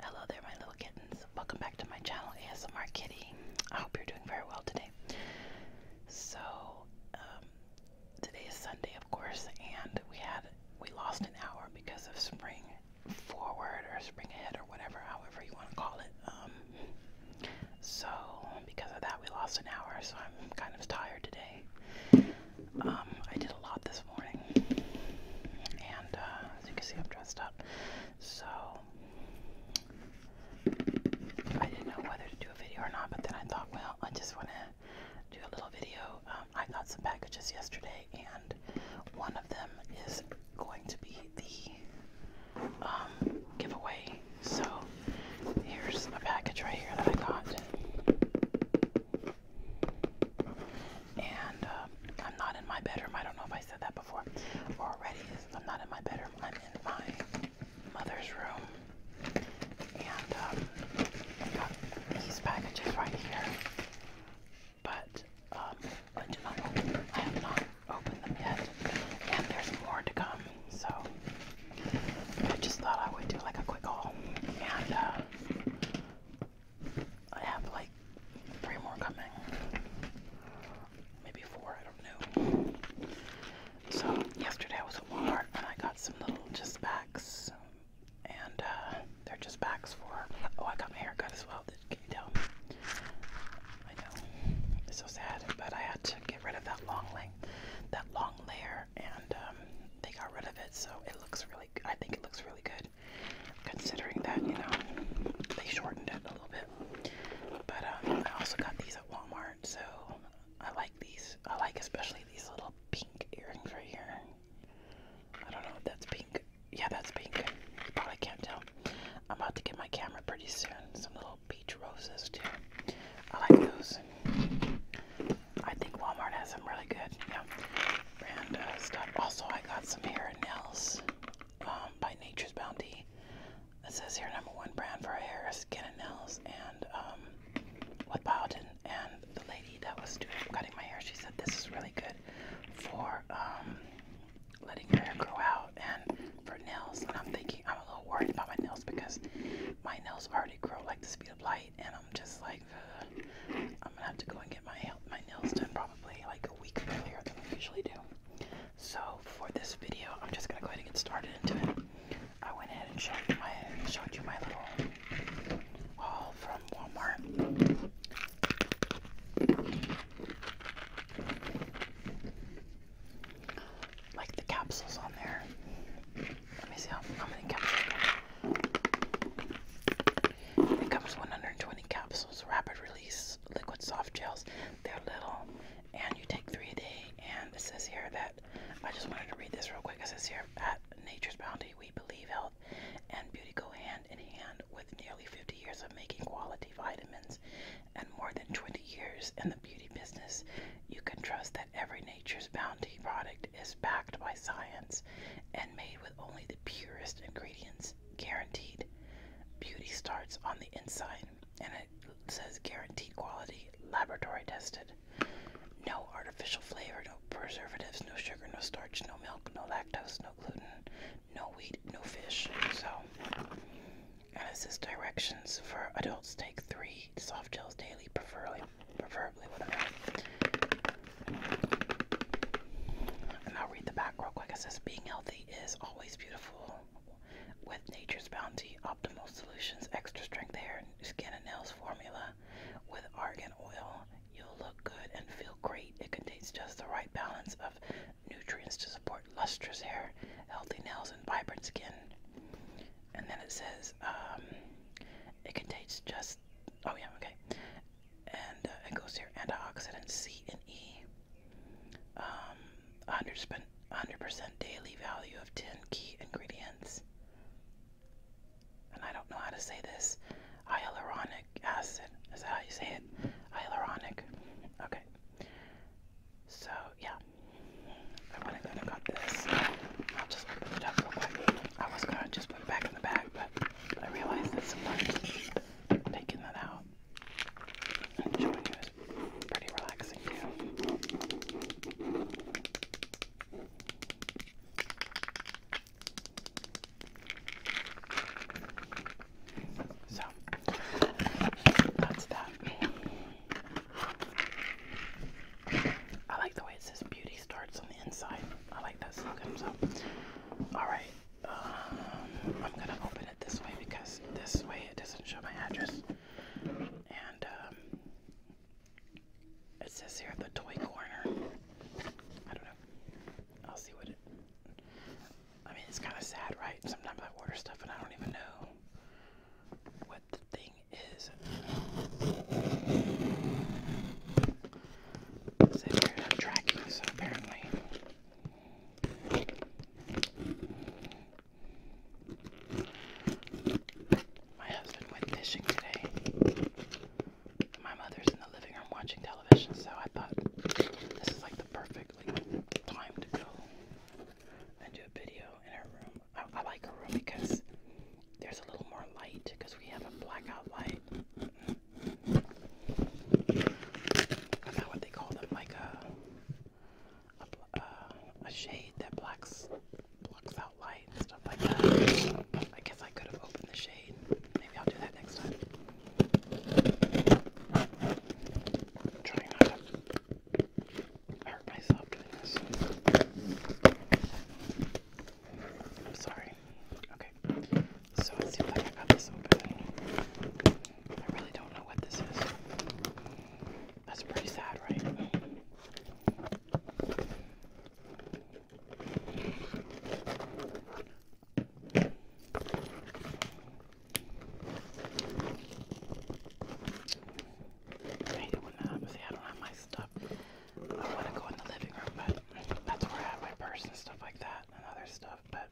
Hello there, my little kittens. Welcome back to my channel, ASMR Kitty. I hope you're doing very well today. So, um, today is Sunday, of course, and we had we lost an hour because of spring forward or spring ahead or whatever, however you want to call it. Um, so, because of that, we lost an hour. So I'm kind of tired today. Um, I did a lot this morning, and uh, as you can see, I'm dressed up. So I didn't know whether to do a video or not, but then I thought, well, I just want to do a little video. Um, I got some packages yesterday, and one of them is going to be the um, giveaway. So here's a package right here that I got. And uh, I'm not in my bedroom. I don't know if I said that before already. I'm not in my bedroom. I'm in my mother's room. And um, I got these packages right here. But um, I, do not I have not opened them yet. And there's more to come. So I just thought I would do like a quick haul. And uh, I have like three more coming. Maybe four, I don't know. So yesterday I was at Walmart and I got some little just backs. And uh, they're just backs for, oh I got my haircut as well, Did you tell? I know, it's so sad, but I had to get rid of that long length, that long layer and um, they got rid of it so it looks really I think it looks really good considering that, you know, they shortened it a little bit. But um, I also got these at Walmart, so I like these. I like especially these little pink earrings right here. I don't know if that's pink. Yeah, that's pink. probably can't tell. I'm about to get my camera pretty soon. Some little peach roses too. I like those. I think Walmart has some really good, yeah. know, brand uh, stuff. Also, I got some hair and nails um, by Nature's Bounty. This says here number one brand for hair, skin and nails, and um, with Biotin. And the lady that was doing cutting my hair, she said this is really good for um, letting your hair grow out and for nails. And I'm thinking I'm a little worried about my nails because my nails already grow like the speed of light, and I'm just like, uh, I'm gonna have to go and get my my nails done probably like a week earlier than we usually do. So for this video, I'm just gonna go ahead and get started into it. I went ahead and showed you my showed you my little haul from Walmart. Like the capsules on there let me see how, many capsules. It comes 120 capsules, rapid release liquid soft gels. They're little, and you take three a day. And it says here that I just wanted to read this real quick. It says here at Nature's Bounty, we believe health and beauty go hand in hand with nearly 50 years of making quality vitamins and more than 20 years in the beauty business, you can trust that every Nature's Bounty product is backed by science and made with only the purest ingredients, guaranteed. Beauty starts on the inside, and it says guaranteed quality, laboratory tested. No artificial flavor, no preservatives, no sugar, no starch, no milk, no lactose, no gluten, no wheat, no fish. So, and it says directions for adults take three soft gels daily, preferably, preferably whatever. And I'll read the back real quick. It says, being healthy is always beautiful. With nature's bounty, optimal solutions, extra strength hair, skin and nails formula with argan oil, you'll look good and feel great. It contains just the right balance of nutrients to support lustrous hair, healthy nails, and vibrant skin. And then it says um, it contains just oh yeah okay, and uh, it goes here antioxidants C and E. 100% um, daily value of 10 key ingredients. And I don't know how to say this. Hyaluronic acid. Is that how you say it? Hyaluronic. Okay. So yeah, I wouldn't have this. I'll just open it up real quick. I was gonna just put it back in the bag, but I realized that sometimes taking that out and showing you is pretty relaxing too. So that's that. I like the way it says beauty starts on the inside. I like that slogan. So, alright, um, I'm gonna open it this way because this way it doesn't show my address. And, um, it says here the toy corner. I don't know. I'll see what it. I mean, it's kind of sad, right? Sometimes I order stuff and I don't even know what the thing is. they figured out tracking, so apparently. My husband went fishing today. My mother's in the living room watching television, so I thought this is like the perfect like, and do a video in her room. I, like her room because there's a little more light because we have a blackout light. I forgot what they call them, like a a, uh, shade that blacks blocks out light and stuff like that. I guess I could have opened the shade. Maybe I'll do that next time. trying not I hurt myself doing this. I'm sorry. Okay. So it seems like I got this open. I really don't know what this is. That's pretty sad, right? I hate it when I see I don't have my stuff. I want to go in the living room, but that's where I have my purse and stuff like that and other stuff. But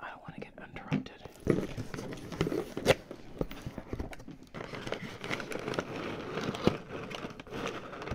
I don't want to get interrupted.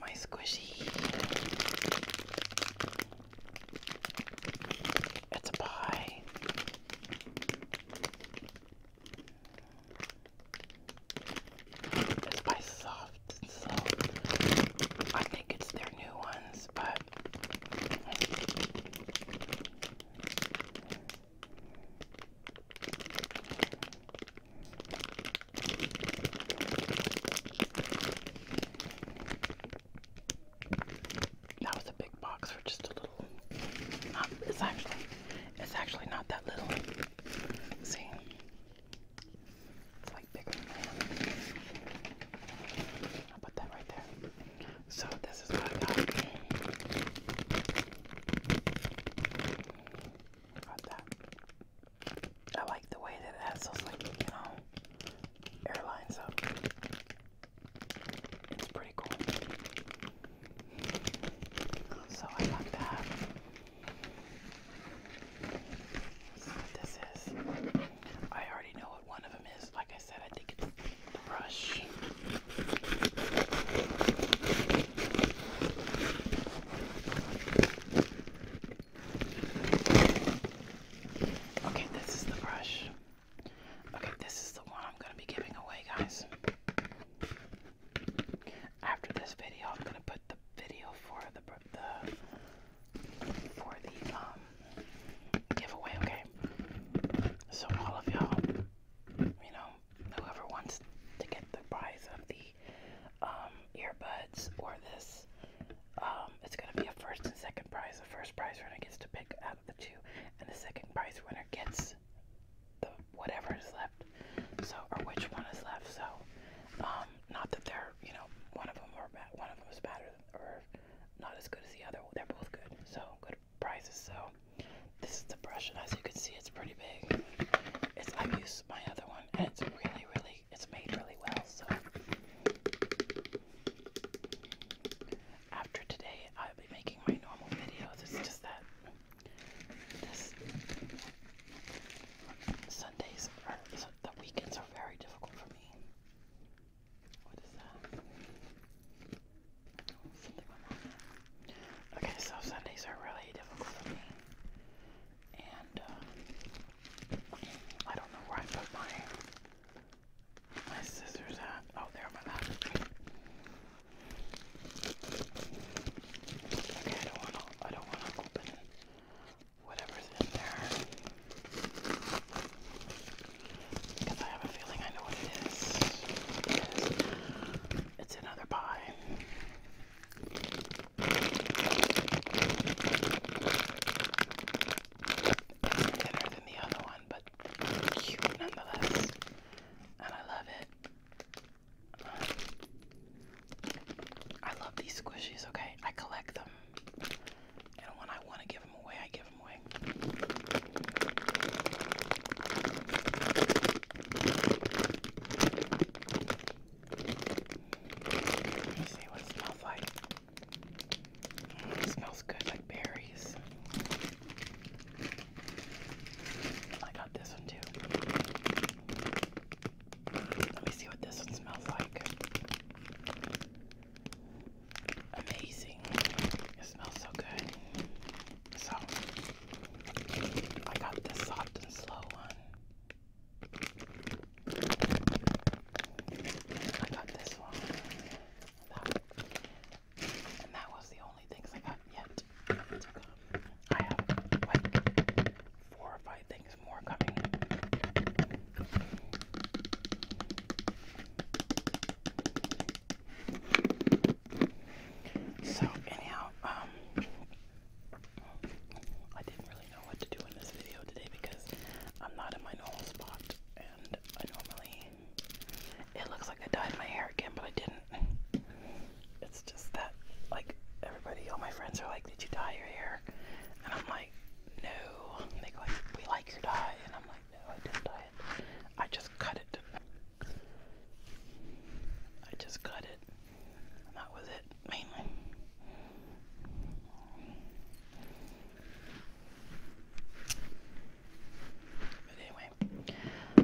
my squishy. It's a pie. It's by Soft. I think it's their new ones, but that was a big box for just a little. it's actually, it's actually not that little. See, it's like bigger I'll put that right there. So this is what I got. I that. I like the way that it has those, like, you know, air lines. up. It's pretty cool. So I got that. So this is. I already know what one of them is. Like I said, I think it's the brush. Okay, this is the brush. Okay, this is the one I'm going to be giving away, guys. After this video, I'm going to put the video for the the for the um giveaway, okay? So all of y'all, you know, whoever wants to get the prize of the um, earbuds or this. Um, it's going to be a first and second prize. The first prize winner gets to pick out of the two, and the second prize winner gets the whatever is left. So, or which one is left. So, um, not that they're, you know, one of them or one of them is better or not as good as the other. They're both good. So, good prizes. So, this is the brush, as you can see it's pretty big. It's I've used my other one and it's really, really it's made really well, so after today I'll be making my normal videos. It's just that this Sundays or the weekends are very difficult for me. What is that? Okay, so Sundays are really difficult for me. And uh, I don't know where I put my my scissors at. Oh, they're on my lap. Okay, I don't wanna I don't wanna open whatever's in there. Because I have a feeling I know what It is. It's another pie. Thinner than the other one, but cute nonetheless. And I love it. I love these squishies, okay? I collect them. And when I want to give them away, I give them away. Let me see what it smells like. smells good like berries. I got this one too. Let me see what this one smells like. Amazing. It smells so good. So I got this soft and slow one. I got this one. And that was the only things I got yet. I have like four or five things more coming. So anyhow, um, I didn't really know what to do in this video today because I'm not in my normal spot, and I normally it looks like I dyed my hair again, but I didn't. It's just that like everybody, all my friends are like, "Did you dye your hair?" And I'm like, "No." they go, "We like your dye," and I'm like, "No, I didn't dye it. I just cut it." I just cut it. that was it, mainly. But anyway,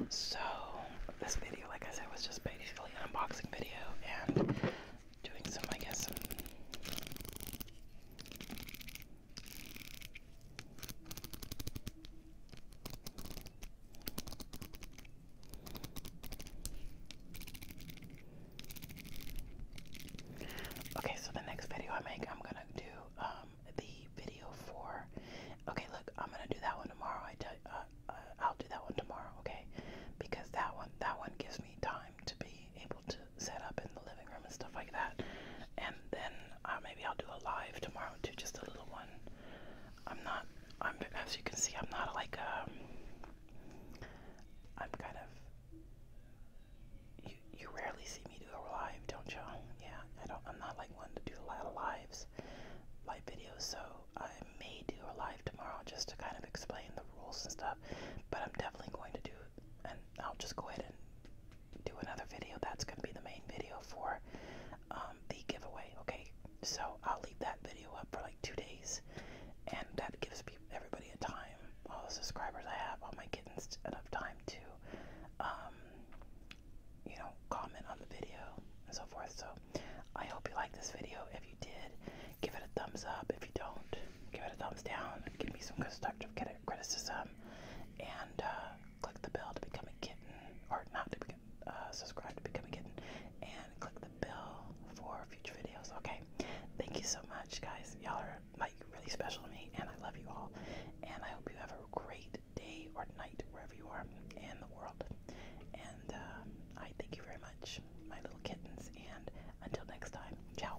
so this video, like I said, was just basically an unboxing video and doing some, I guess, Okay, so the next video I make, I'm gonna do um, the video for. Okay, look, I'm gonna do that one tomorrow. I tell, uh, uh, I'll do that one tomorrow, okay? Because that one, that one gives me time to be able to set up in the living room and stuff like that. And then uh, maybe I'll do a live tomorrow too, just a little one. I'm not. I'm as you can see, I'm not like um, I'm kind of. You you rarely see me do a live, don't you? Yeah, I don't. I'm not like one to do a lot of lives, live videos. So I may do a live tomorrow just to kind of explain the rules and stuff. But I'm definitely going to do and I'll just go ahead and do another video. That's going to be the main video for um, the giveaway. Okay, so I'll leave that video up for like two days, and that gives everybody a time, all the subscribers I have, all my kittens, enough time to, um, you know, comment on the video and so forth. So I hope you liked this video. If you did, give it a thumbs up. If you don't, give it a thumbs down, give me some constructive criticism, and uh, click the bell to become a kitten, or not to uh, subscribe to become a kitten, and click the bell for future videos. Okay, thank you so much, guys. Y'all are like really special to me, and I love you all. And I hope you have a great day or night wherever you are in the world. And uh, I thank you very much, my little kittens. And until next time, ciao.